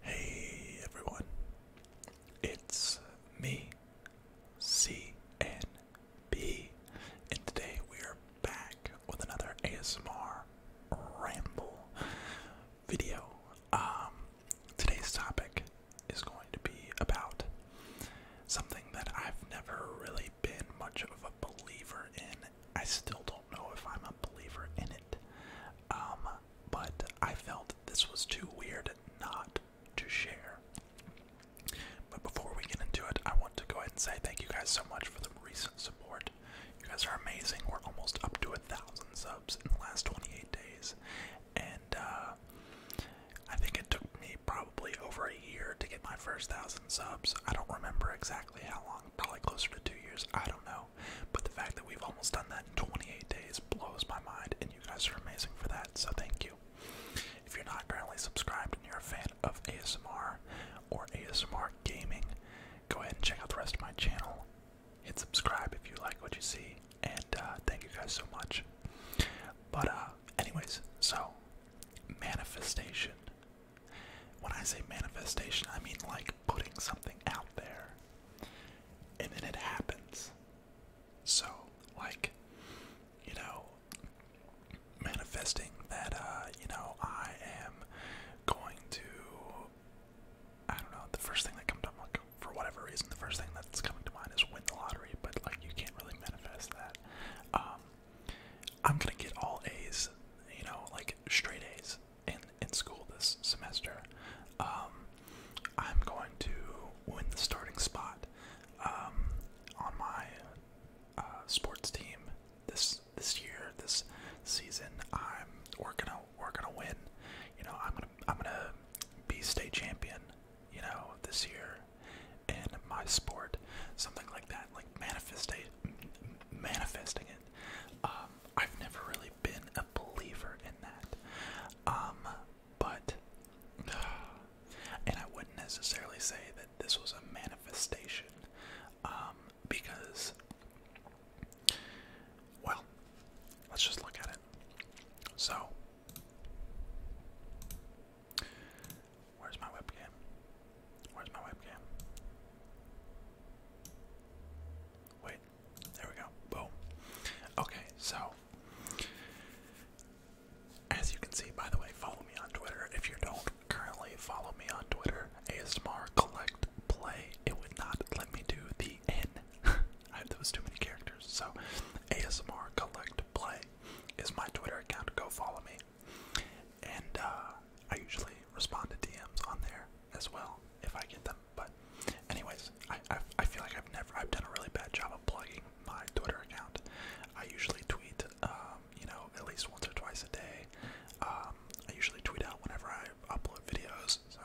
Hey everyone, it's me, C N B, and today we are back with another ASMR ramble video. Um, today's topic is going to be about something that I've never really been much of a believer in I still don't know if I'm a believer in it. Um, but I felt this was too weird not to share. But before we get into it, I want to go ahead and say thank you guys so much for the recent support. You guys are amazing. We're almost up to a thousand subs in the last 28 days. And uh, I think it took me probably over a year to get my first thousand subs. I don't remember exactly how long, probably closer to two years. I don't know. But the fact that we've almost done that in 28 days blows my mind, and you guys are amazing for that, so thank you. If you're not currently subscribed and you're a fan of ASMR or ASMR gaming, go ahead and check out the rest of my channel. Hit subscribe if you like what you see, and uh, thank you guys so much. But, uh, anyways, so manifestation when I say manifestation, I mean like putting something out there and then it happens. So, like, you know, manifesting that, uh, you know, I am going to, I don't know, the first thing that comes up, like, for whatever reason, the first thing that's coming to mind is win the lottery, but, like, you can't really manifest that. Um, I'm gonna get all A's, you know, like straight A's in in school this semester, um, I'm going to win the starting spot um, on my uh, sports team this this year this season. I'm we're gonna we're gonna win. You know I'm gonna I'm gonna be state champion. You know this year in my sport, something like that, like manifestate manifesting it. Um, I've never really been a believer in that. Um, but, and I wouldn't necessarily say that this was a manifestation, um, because, well, let's just look at it. So, where's my webcam? Where's my webcam? Wait, there we go. Boom. Okay, so as you can see, by the way, follow me on Twitter. If you don't currently follow me on Twitter, ASMR Collect Play. It would not let me do the N. I have those too many characters. So ASMR Collect Play is my Twitter account. Go follow me. And uh, I usually respond to DMs on there as well if I get them. But, anyways, I, I feel like I've never I've done a really bad job of plugging my Twitter account. I usually tweet, um, you know, at least once or twice a day. Um, I usually tweet out whenever I upload videos. So,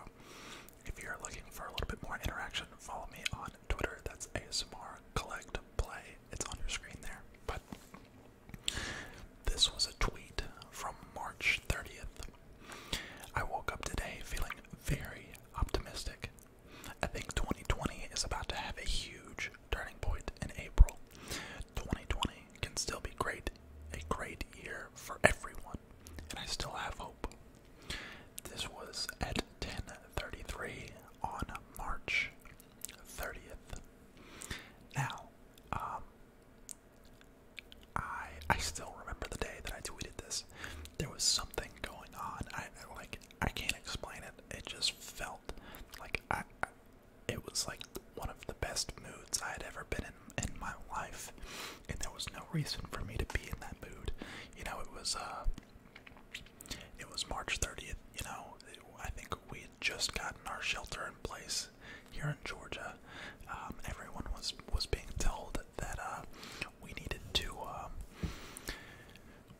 if you're looking for a little bit more interaction, follow me on Twitter. That's ASMR Collect Play. It's on your screen there. But this was a tweet from March 30th. I woke up today feeling very optimistic. I think 2020 is about to have a huge turning point in April. 2020 can still be great, a great year for everyone, and I still have hope. This was at 10:33 on March 30th. Now, um, I I still remember the day that I tweeted this. There was something going on. I like I can't explain it. It just felt like I, I it was like one of the best moods I had ever been in in my life, and there was no reason for me to be in that mood. You know, it was uh, it was March thirtieth. You know, I think we just gotten our shelter in place here in Georgia, um, everyone was was being told that uh, we needed to um,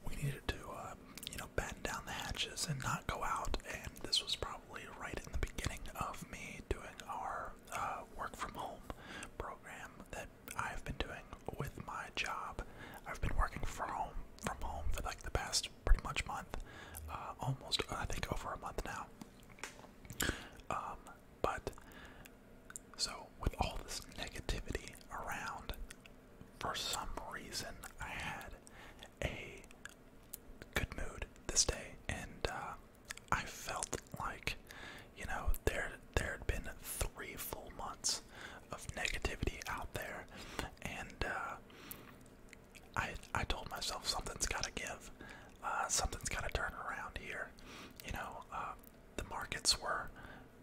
we needed to uh, you know batten down the hatches and not go out. And this was probably right in the beginning of me doing our uh, work from home program that I've been doing with my job. I've been working from home from home for like the past pretty much month, uh, almost I think over a month now. Um, but so with all this negativity around, for some reason I had a good mood this day, and uh, I felt like you know there there had been three full months of negativity out there, and uh, I I told myself something's got to give, uh, something's got to turn around here. You know, uh, the markets were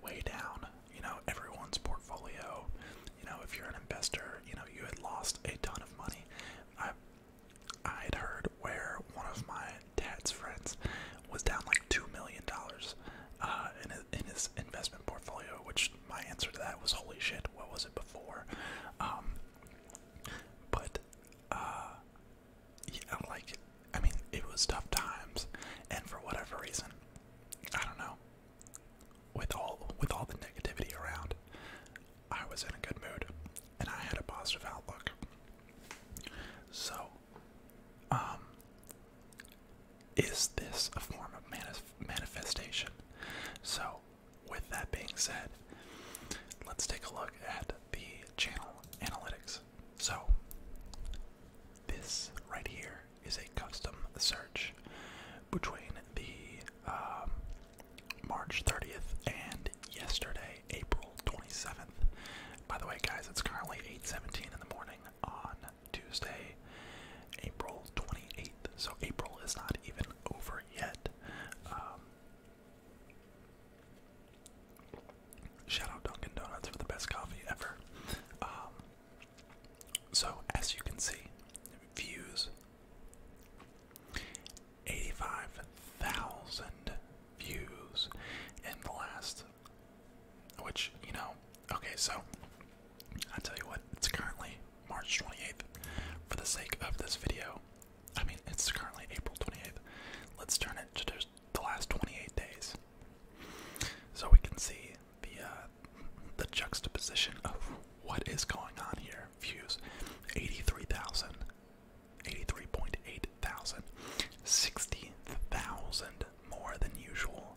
way down. You know, everyone's portfolio. You know, if you're an investor, you know you had lost a ton of money. I I had heard where one of my dad's friends was down like two million dollars uh, in in his investment portfolio, which my answer to that was holy shit, what was it before? Um, but uh, yeah, like I mean, it was tough times, and for whatever reason, I don't know. With all with all the negativity around, I was in a good mood, and I had a positive outlook. So, um, is this a form of manifestation? So, with that being said, let's take a look at the channel analytics. So, this right here is a custom search between the um, March 30th and yesterday, April 27th. By the way, guys, it's currently 8:17 in the morning on Tuesday, April 28th. So April is not even over yet. Um, shout out Dunkin' Donuts for the best coffee ever. Um, so as you can see, views. 85,000 views in the last, which, you know, Okay, so I'll tell you what, it's currently March 28th. For the sake of this video, I mean, it's currently April 28th. Let's turn it to the last 28 days. So we can see the uh, the juxtaposition of what is going on here. Views 83,000, 83.8 thousand, 60,000 more than usual.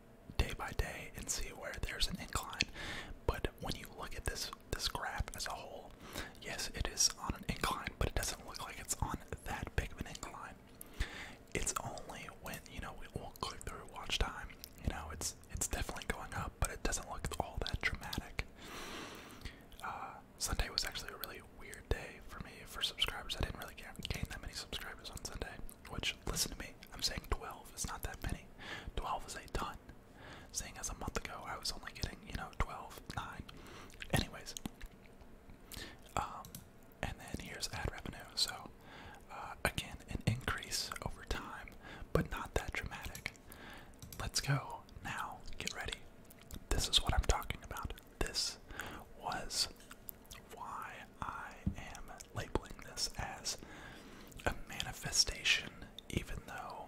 day by day and see where there's an incline. But when you look at this this graph as a whole, yes, it is on an incline, but it doesn't look like it's on that big of an incline. It's only when you know we all click through watch time. You know, it's it's definitely going up, but it doesn't look all that dramatic. Uh, Sunday was actually a really weird day for me for subscribers. I didn't really gain that many subscribers on Sunday which, listen to me, I'm saying 12 is not that many. 12 is a ton. Seeing as a month ago I was only getting, you know, 12, 9. Anyways, um, and then here's ad revenue. So, uh, again, an increase over time, but not that dramatic. Let's go now. Get ready. This is what I'm talking about. This was why I am labeling this as a manifestation, even though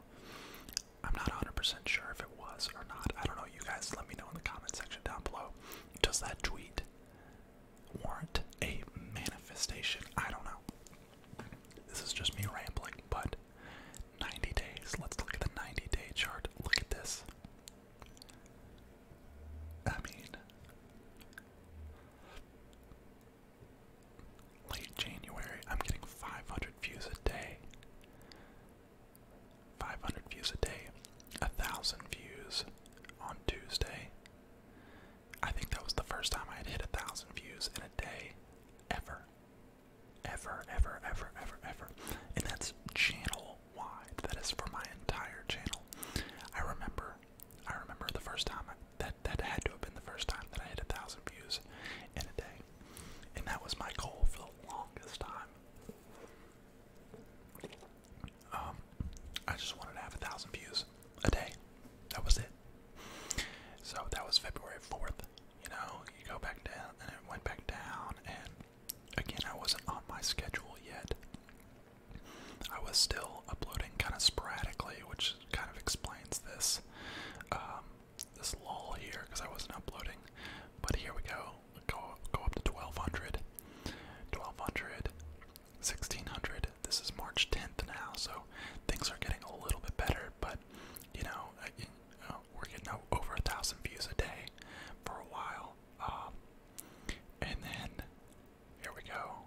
I'm not 100 sure if it was or not. I don't know. You guys let me know in the comment section down below. Does that tweet warrant a manifestation? I don't know. This is just me rambling, but 90 days. Let's look at the 90 day chart. Look at this. I mean, late January, I'm getting 500 views a day. 500 views a day, a thousand views on Tuesday. I think that was the first time I had hit a thousand views in a day ever. Ever, ever, ever, ever, ever. And that's channel wide. That is for my entire channel. I remember, I remember the first time that that had to have been the first time that I hit a thousand views in a day, and that was my goal for the longest time. Um, I just wanted to a thousand views a day. That was it. So that was February fourth. You know, you go back down, and it went back down, and again, I wasn't on my schedule yet. I was still uploading kind of sporadically, which kind of explains this um, this lull here because I wasn't uploading. But here we go. go go up to 1200, 1200, 1600. This is March 10th now, so things are getting a little bit better. But you know we're getting over a thousand views a day for a while. Um, and then here we go,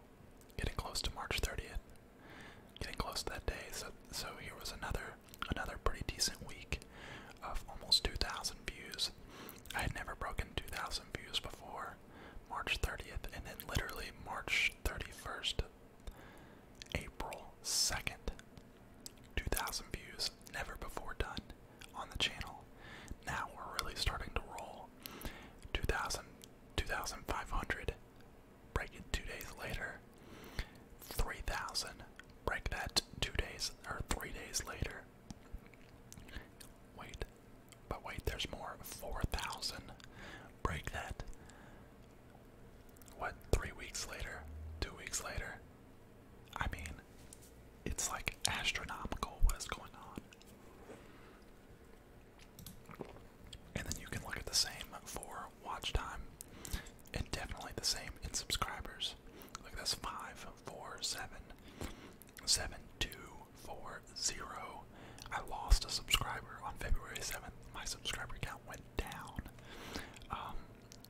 getting close to March 30th, getting close to that day. So so here was another another pretty decent week of almost 2,000 views. I had never broken 2,000 views before March 30th, and then literally March 31st, April 2nd, 2,000 views, never before done on the channel. Now we're really starting to roll. 2,000, 2,500. Break it two days later. 3,000. Break that two days or three days later. Wait, but wait, there's more. 4,000. Break that. What, three weeks later? Two weeks later? I mean, it's like astronomical what is going on. And then you can look at the same for watch time and definitely the same in subscribers. Like that's 5, 4, 7, 7, 2, 4, 0. I lost a subscriber on February 7th. My subscriber count went down. Um,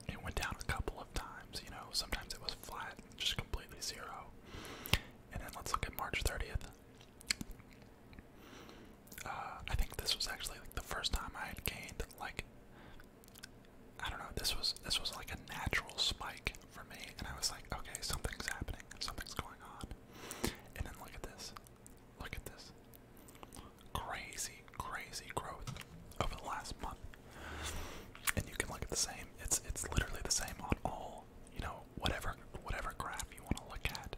it went down a couple of times, you know, sometimes it was flat, just completely zero. And then let's look at March 30th. Uh, I think this was actually like the first time I had gained like I don't know, this was this was like a natural spike for me and I was like, okay, something's happening, something's going on. And then look at this. Look at this. Crazy, crazy growth over the last month and you can look at the same. It's it's literally the same on all you know whatever whatever graph you want to look at.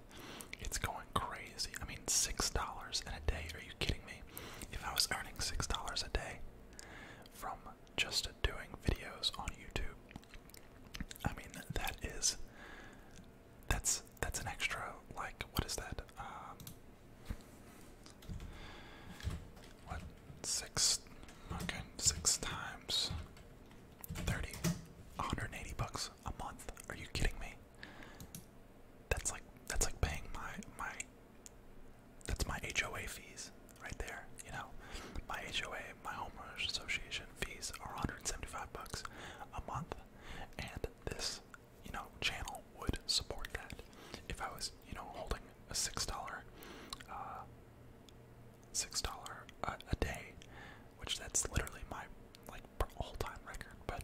It's going crazy. I mean, six dollars in a day. Are you kidding me? If I was earning six dollars a day from just doing videos on YouTube, I mean that is that's that's an extra like what is that? Um, what? Six. Okay, six times. 30. bucks a month. Are you kidding me? That's like that's like paying my my that's my HOA fees right there, you know. My HOA, my homeowners association fees are 175 bucks a month and this, you know, channel would support that if I was, you know, holding a six dollar, uh, six dollar uh, a, day, which that's literally my like all time record. But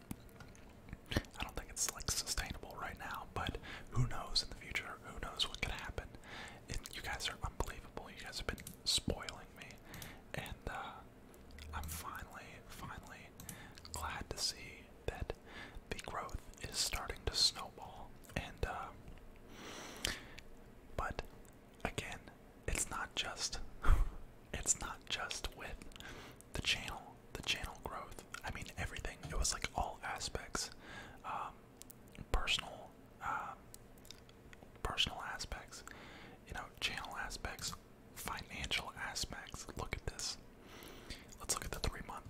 I don't think it's like sustainable right now. But who knows in the future? Who knows what could happen? you guys are unbelievable. You guys have been spoiling me, and uh, I'm finally, finally glad to see that the growth is starting to snowball, and uh, but again, it's not just it's not just with the channel, the channel growth. I mean everything. It was like all aspects, um, personal, um, personal aspects, you know, channel aspects, financial aspects. Look at this. Let's look at the three month.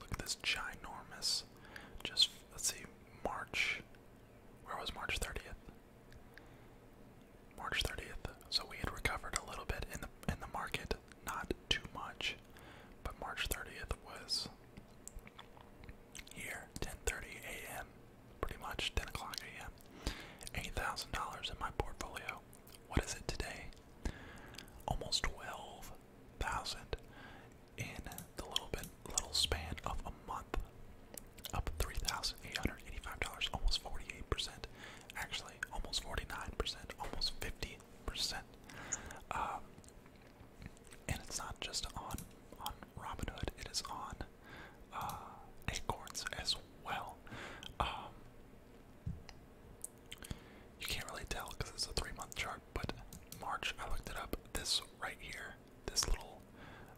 Look at this ginormous. Just let's see, March. Where was March 30th? March 30th. So we had recovered a little bit in the in the market, not too much, but March 30th was here, 10:30 a.m. Pretty much 10 o'clock a.m. Eight thousand dollars in my portfolio. What is it today? almost 12,000 in the little bit little span of a month. Up $3,885, almost 48%. Actually, almost 49%, almost 50%. Um, and it's not just on on Robinhood, it is on uh, Acorns as well. Um, you can't really tell because it's a three month chart, but March, I looked it up. This right here, this little,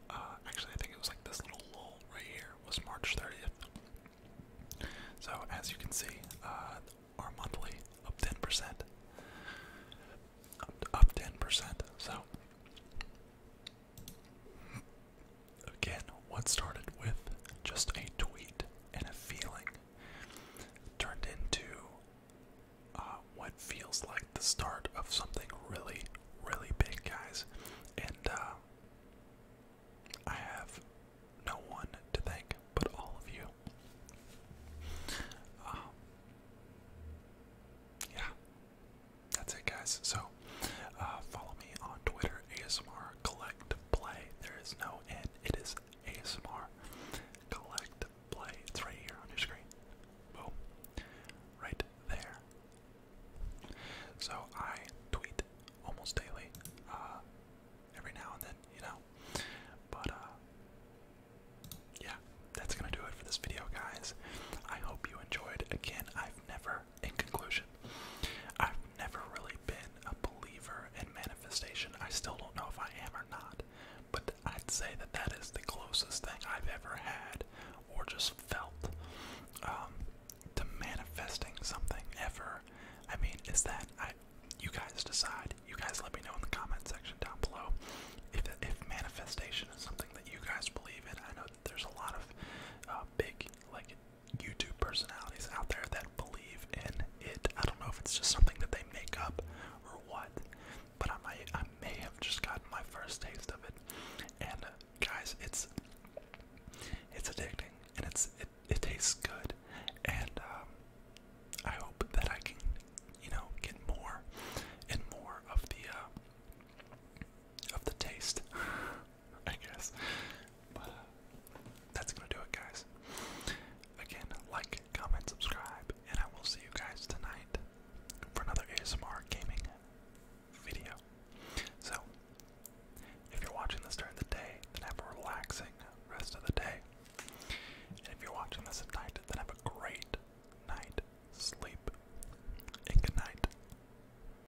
uh, actually, I think it was like this little lull right here was March 30th. So, as you can see, uh, our monthly up 10%. Up, up 10%. So, Again, what started with just a tweet and a feeling turned into uh, what feels like the start of something really, really big, guys. And uh, I have no one to thank but all of you. Um, yeah, that's it, guys. So uh, follow me on Twitter ASMR, collect, play. There is no end. It is ASMR, collect, play. It's right here on your screen. Boom. Right there. So I tweet almost daily, uh, every now and then, you know. But, uh, yeah, that's gonna do it for this video, guys. I hope you enjoyed. Again, I've never in conclusion. I've never really been a believer in manifestation. I still don't know if I am or not, but I'd say that that is the closest thing I've ever had or just felt um, to manifesting something ever. I mean, is that I? You guys decide. You guys let me know in the comment section down below if if manifestation is something that you guys believe in. I know that there's a lot of uh, big like YouTube personalities out there that believe in it. I don't know if it's just something that they make up or what, but I might, I may have just gotten my first taste of it. And uh, guys, it's it's addicting, and it's it, tastes good, and um, I hope that I can, you know, get more and more of the uh, of the taste I guess. But that's gonna do it, guys. Again, like, comment, subscribe, and I will see you guys tonight for another ASMR gaming video. So, if you're watching this during the day, then have a relaxing rest of the day. if you're watching this at night, then have a great night sleep. good night.